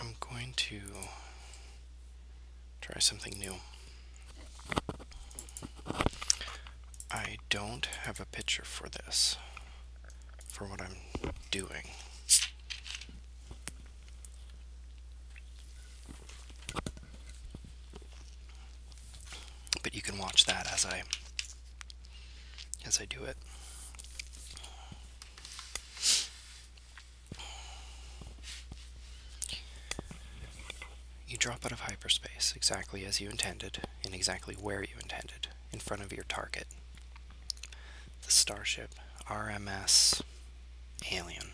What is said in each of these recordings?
I'm going to try something new. I don't have a picture for this, for what I'm doing. But you can watch that as I as I do it. You drop out of hyperspace exactly as you intended and exactly where you intended, in front of your target. The starship RMS Alien.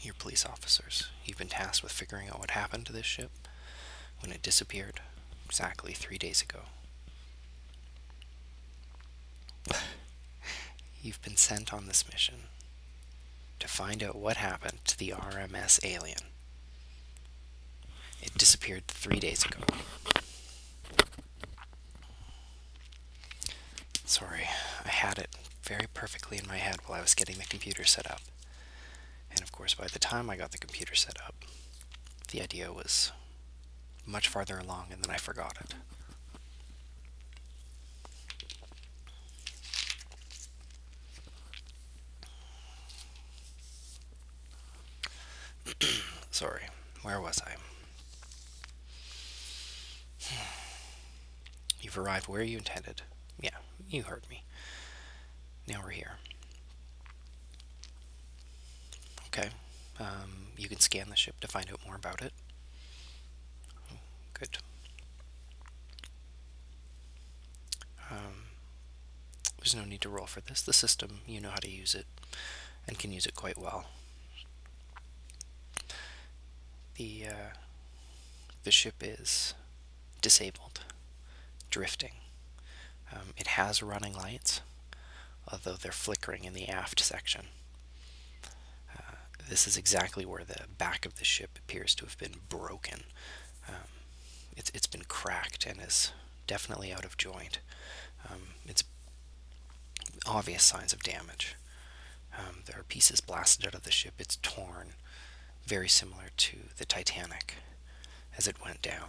You're police officers. You've been tasked with figuring out what happened to this ship when it disappeared exactly three days ago. You've been sent on this mission to find out what happened to the RMS alien. It disappeared three days ago. Sorry, I had it very perfectly in my head while I was getting the computer set up. And of course, by the time I got the computer set up, the idea was much farther along, and then I forgot it. Sorry, where was I? You've arrived where you intended. Yeah, you heard me. Now we're here. Okay. Um, you can scan the ship to find out more about it. Good. Um, there's no need to roll for this. The system, you know how to use it and can use it quite well. The, uh, the ship is disabled, drifting. Um, it has running lights, although they're flickering in the aft section. Uh, this is exactly where the back of the ship appears to have been broken. Um, it's, it's been cracked and is definitely out of joint. Um, it's obvious signs of damage. Um, there are pieces blasted out of the ship. It's torn, very similar to the Titanic as it went down.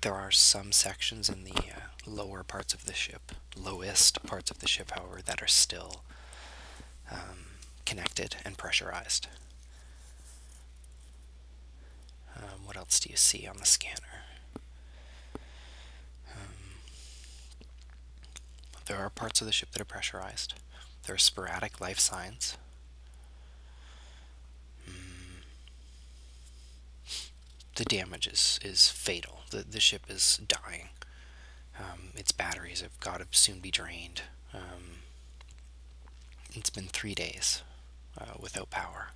There are some sections in the uh, lower parts of the ship, lowest parts of the ship, however, that are still um, connected and pressurized. Um, what else do you see on the scanner? Um, there are parts of the ship that are pressurized. There are sporadic life signs. Mm. The damage is, is fatal. The, the ship is dying. Um, its batteries have got to soon be drained. It's been three days uh, without power.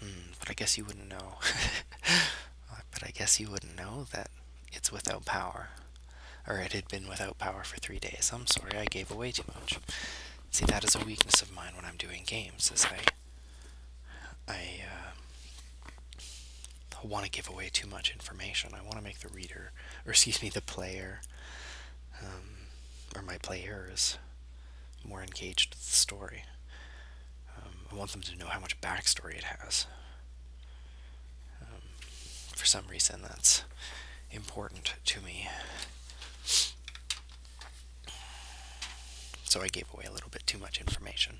Hmm, but I guess you wouldn't know. Uh, but I guess you wouldn't know that it's without power. Or it had been without power for three days. I'm sorry, I gave away too much. See, that is a weakness of mine when I'm doing games, is I, I, uh, I want to give away too much information. I want to make the reader, or excuse me, the player, um, or my players, more engaged with the story. Um, I want them to know how much backstory it has. Um, for some reason, that's important to me. So I gave away a little bit too much information.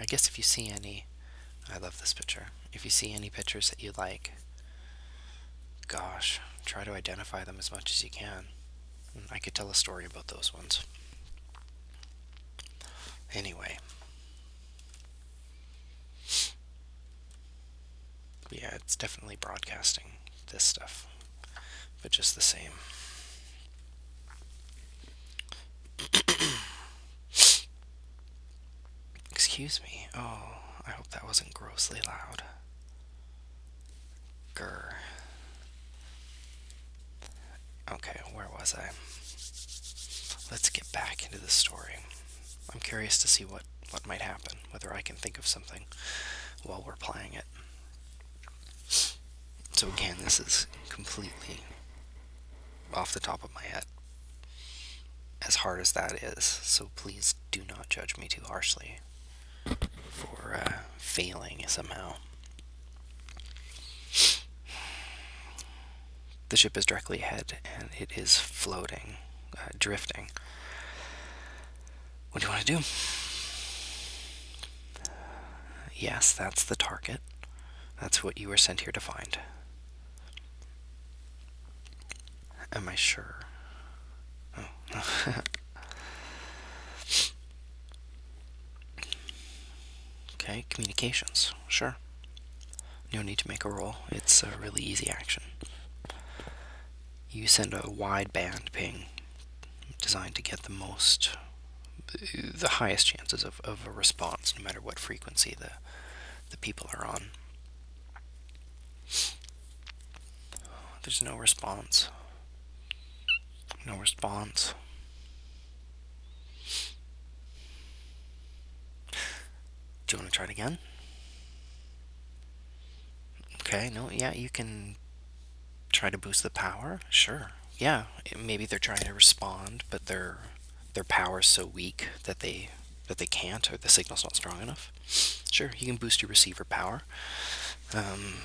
I guess if you see any, I love this picture. If you see any pictures that you like, gosh, try to identify them as much as you can. Mm, I could tell a story about those ones. Anyway. Yeah, it's definitely broadcasting this stuff, but just the same. Excuse me. Oh, I hope that wasn't grossly loud. Grr. Okay, where was I? Let's get back into the story. I'm curious to see what, what might happen, whether I can think of something while we're playing it. So again, this is completely off the top of my head. As hard as that is, so please do not judge me too harshly for uh, failing somehow the ship is directly ahead and it is floating, uh, drifting. What do you want to do? Yes, that's the target. That's what you were sent here to find. Am I sure? Oh. okay, communications sure. No need to make a roll. It's a really easy action. You send a wideband ping designed to get the most, the highest chances of, a response, no matter what frequency the, the people are on. There's no response. No response. Do you want to try it again? Okay, no, yeah, you can try to boost the power. Sure. Yeah, maybe they're trying to respond, but their their power is so weak that they that they can't, or the signal's not strong enough. Sure, you can boost your receiver power. Um,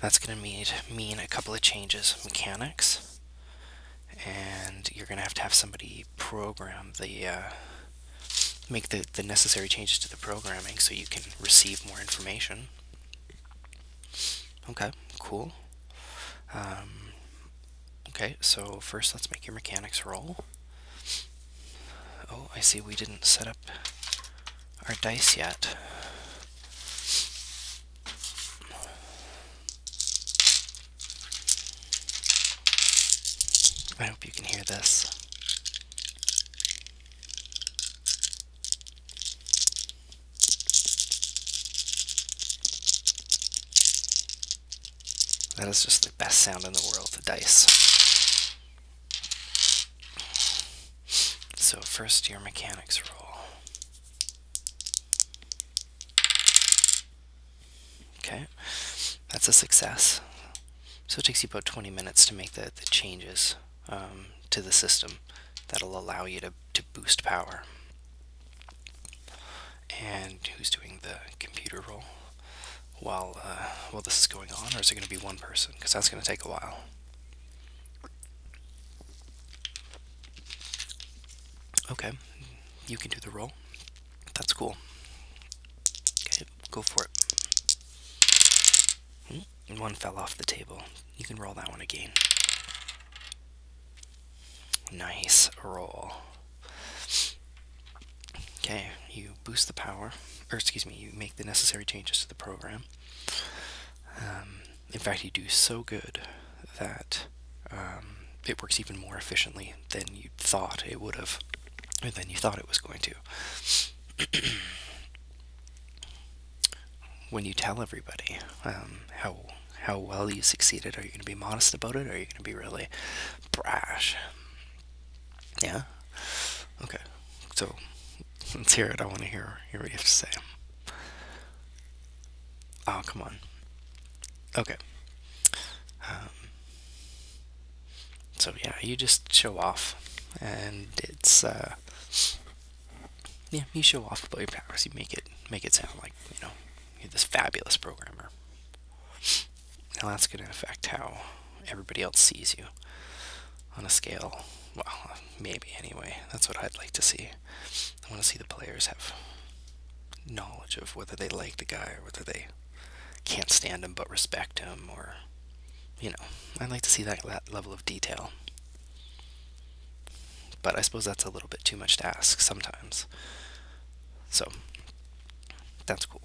that's going to mean mean a couple of changes mechanics and you're going to have to have somebody program the uh, make the, the necessary changes to the programming so you can receive more information. Okay, cool. Um, okay, so first let's make your mechanics roll. Oh, I see we didn't set up our dice yet. I hope you can hear this. That is just the best sound in the world, the dice. So first your mechanics roll. Okay, that's a success. So it takes you about 20 minutes to make the, the changes um, to the system that'll allow you to, to boost power. And who's doing the computer role while, uh, while this is going on, or is it going to be one person? Because that's going to take a while. Okay, you can do the roll. That's cool. Okay, go for it. Hmm, one fell off the table. You can roll that one again. Nice roll. Okay, you boost the power, or excuse me, you make the necessary changes to the program. Um, in fact, you do so good that um, it works even more efficiently than you thought it would have, than you thought it was going to. when you tell everybody um, how how well you succeeded, are you going to be modest about it, or are you going to be really brash? Yeah. Okay. So Let's hear it. I want to hear, hear what you have to say. Oh, come on. Okay. Um, so yeah, you just show off, and it's uh, yeah, you show off about your powers. You make it make it sound like you know you're this fabulous programmer. Now that's going to affect how everybody else sees you on a scale. Well, maybe anyway. That's what I'd like to see. I want to see the players have knowledge of whether they like the guy or whether they can't stand him but respect him or you know i'd like to see that, level of detail but i suppose that's a little bit too much to ask sometimes so that's cool